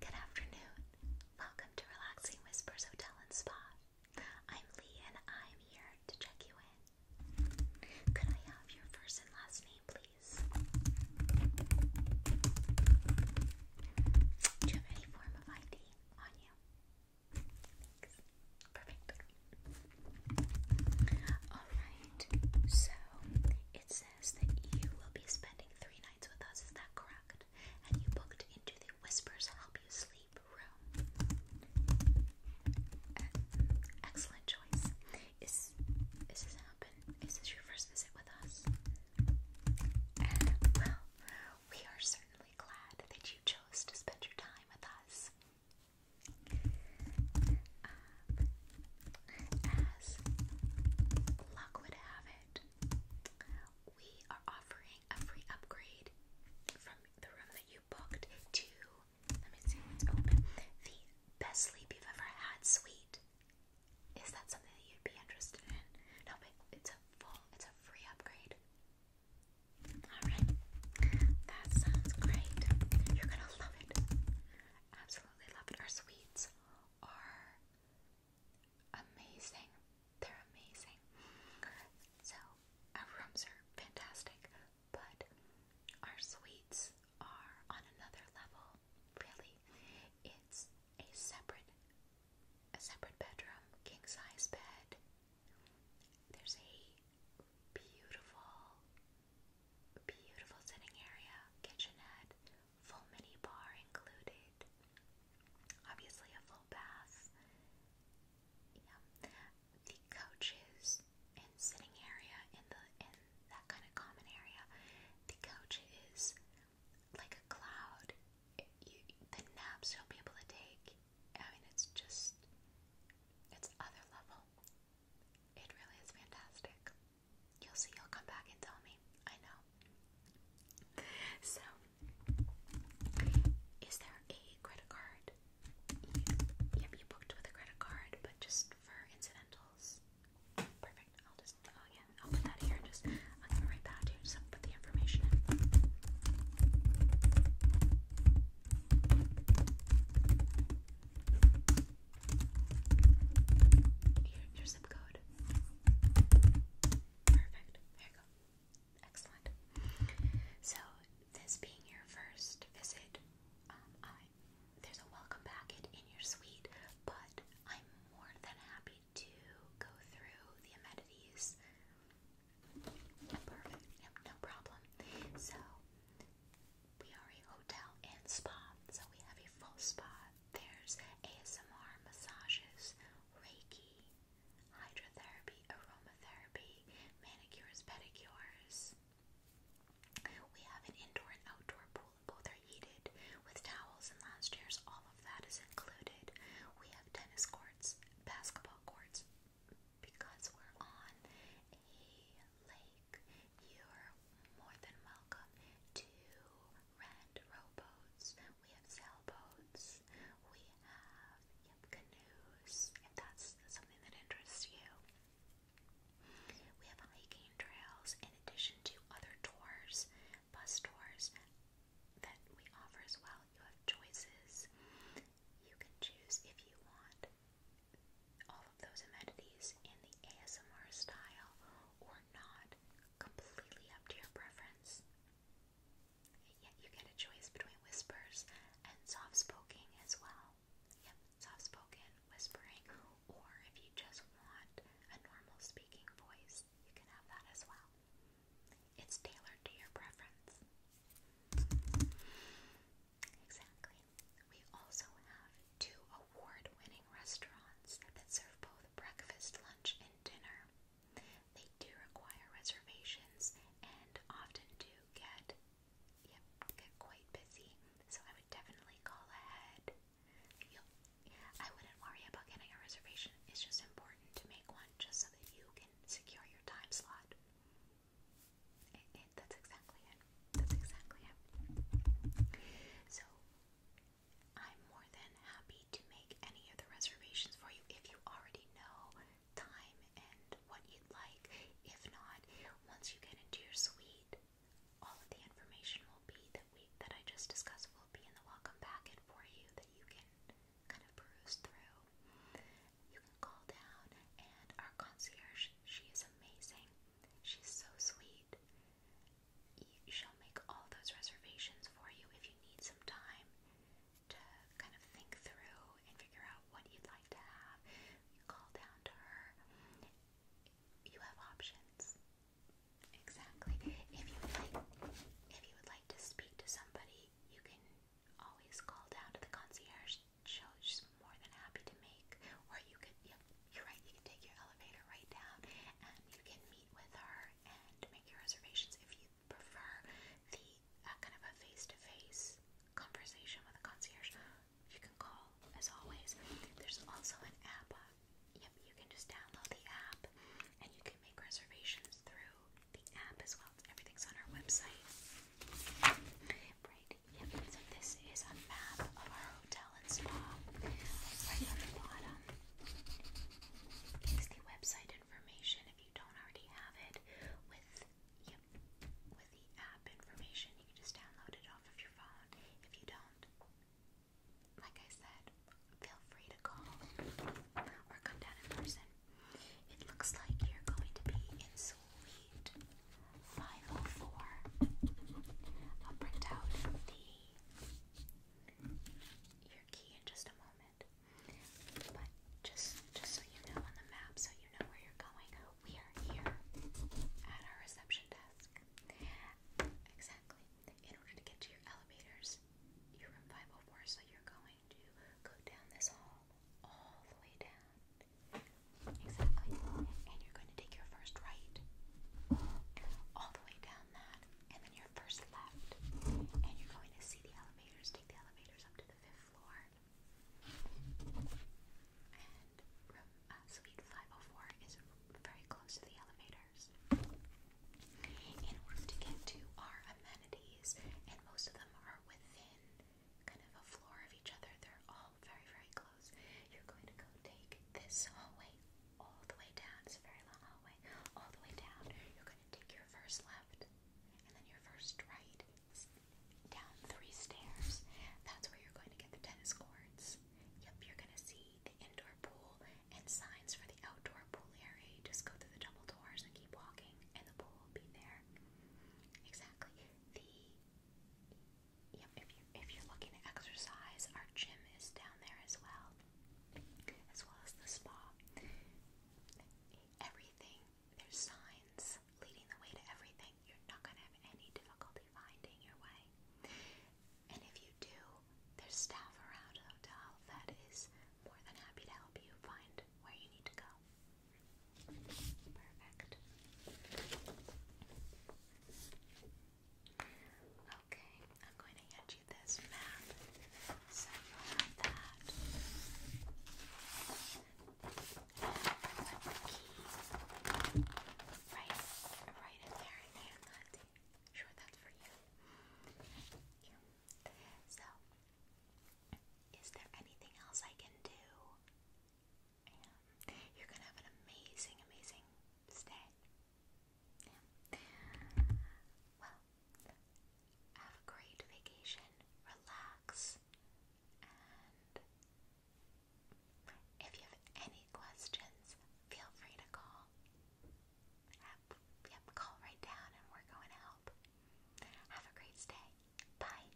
Good afternoon. Welcome to Relaxing Whispers Hotel and Spa. I'm Lee and I'm here to check you in. Could I have your first and last name, please? Do you have any form of ID on you? Perfect. Alright, so it that you will be spending three nights with us, is that correct? And you booked into the Whispers Help You Sleep room. Uh, excellent choice. Is, is this happen? Is this your first visit with us? well, we are certainly glad that you chose to spend your time with us. Uh, as luck would have it, we are offering a free upgrade from the room that you booked to, let me see what's open, the best sleep you've ever had suite. Is that something that you'd be interested in? No, but it's a full, it's a free upgrade. Alright, that sounds great. You're gonna love it. Absolutely love it. Our suites are amazing. They're amazing. So, our rooms are fantastic, but our suites are on another level, really. It's a separate a separate bedroom, king size bed. There's a beautiful Beautiful sitting area, kitchenette, full mini bar included. Obviously, a full bath. Yeah, the couches and sitting area in the in that kind of common area. The couch is like a cloud. It, you, the naps you'll be able to take. I mean, it's just it's other level. It really is fantastic. You'll see, you'll come back and tell me. I know. So, is there a credit card? yep, you booked with a credit card, but just for incidentals. Perfect. I'll just, oh yeah, I'll put that here and just, I'll give right back to you. Just put the information your, zip code. Perfect. There you go. Excellent. So, this being your first visit, um, there's a welcome packet in your suite, but I'm more than happy to go through the amenities. Perfect. no problem. So, we are a hotel and spa, so we have a full spa. There's ASMR massages, Reiki, hydrotherapy, aromatherapy, manicures, pedicures. We have an indoor and outdoor pool. Both are heated with towels and lounge chairs. All of that is included. We have tennis courts, basketball courts, because we're on a lake you're more than welcome to rent rowboats. We have sailboats. We have canoes, if that's something that interests you. We have hiking trails in addition to other tours, bus tours that we offer as well. You have choices. You can choose if you want all of those amenities in the ASMR style or not, completely up to your preference. Yet you get a choice between whispers and soft spoken as well. Yep, soft spoken, whispering, or if you just want a normal speaking voice, you can have that as well. It's tailored to your preference. Exactly. We also have two award winning restaurants that serve both breakfast, lunch, and dinner. They do require reservations and often do get yep, get quite busy. So I would definitely call ahead. I wouldn't worry about getting a reservation. It's just important to make one just so that you can secure your time slot. that's exactly it. That's exactly it. So I'm more than happy to make any of the reservations for you if you already know time and what you'd like. If not, once you get into your suite, all of the information will be that we that I just discussed will be in the welcome packet for you that you can kind of peruse through. You can call down and our concierge, she is amazing. She's so sweet she'll make all those reservations for you if you need some time to kind of think through and figure out what you'd like to have. You call down to her. You have options. Exactly. If you would like, if you would like to speak to somebody, you can always call down to the concierge elevators more than happy to make. Or you could, yep, you're right, you can take your elevator right down and you can meet with her and make your reservations if you prefer the uh, kind of a face to face conversation with a concierge. You can call as always. There's also an app. Uh, yep, you can just download the app and you can make reservations through the app as well. Everything's on our website. Right Yep, so this is a map of our hotel and spa. Right on the bottom is the website information if you don't already have it. With yep, with the app information, you can just download it off of your phone. If you don't, like I said, feel free to call or come down in person. It looks like you're going to be in Sweet 504. I'll print out the your key in just a moment. But just just so you know on the map, so you know where you're going, we are here at our reception desk. Exactly. In order to get to your elevators, you're 504, so you're going to go down this hall all the way down. Exactly. And you're going to take your first right all the way down that, and then your first left. And you're going to see the elevators. Take the elevators up to the fifth floor. And uh, suite 504 is very close to the elevators. In order to get to our amenities, and most of them are within kind of a floor of each other, they're all all very, very close. You're going to go take this hallway all the way down. It's a very long hallway. All the way down. You're going to take your first left and then your first right down three stairs. That's where you're going to get the tennis courts. Yep, you're going to see the indoor pool and signs for the outdoor pool area. just go through the double doors and keep walking, and the pool will be there. Exactly. The yep, if you if you're looking to exercise, our gym is down there as well, as well as the spa. Everything there's signs leading the way to everything. You're not gonna have any difficulty finding your way. And if you do, there's staff around the hotel that is more than happy to help you find where you need to go. Perfect. Okay, I'm going to hand you this map. So you'll have that. the key right, right in there, in there, Sure, that's for you. So, is there anything else I can do? You're gonna have an amazing, amazing stay. Well, have a great vacation, relax, and if you have any questions, feel free to call. Yep, yep, call right down and we're going to help. Have a great stay. Bye.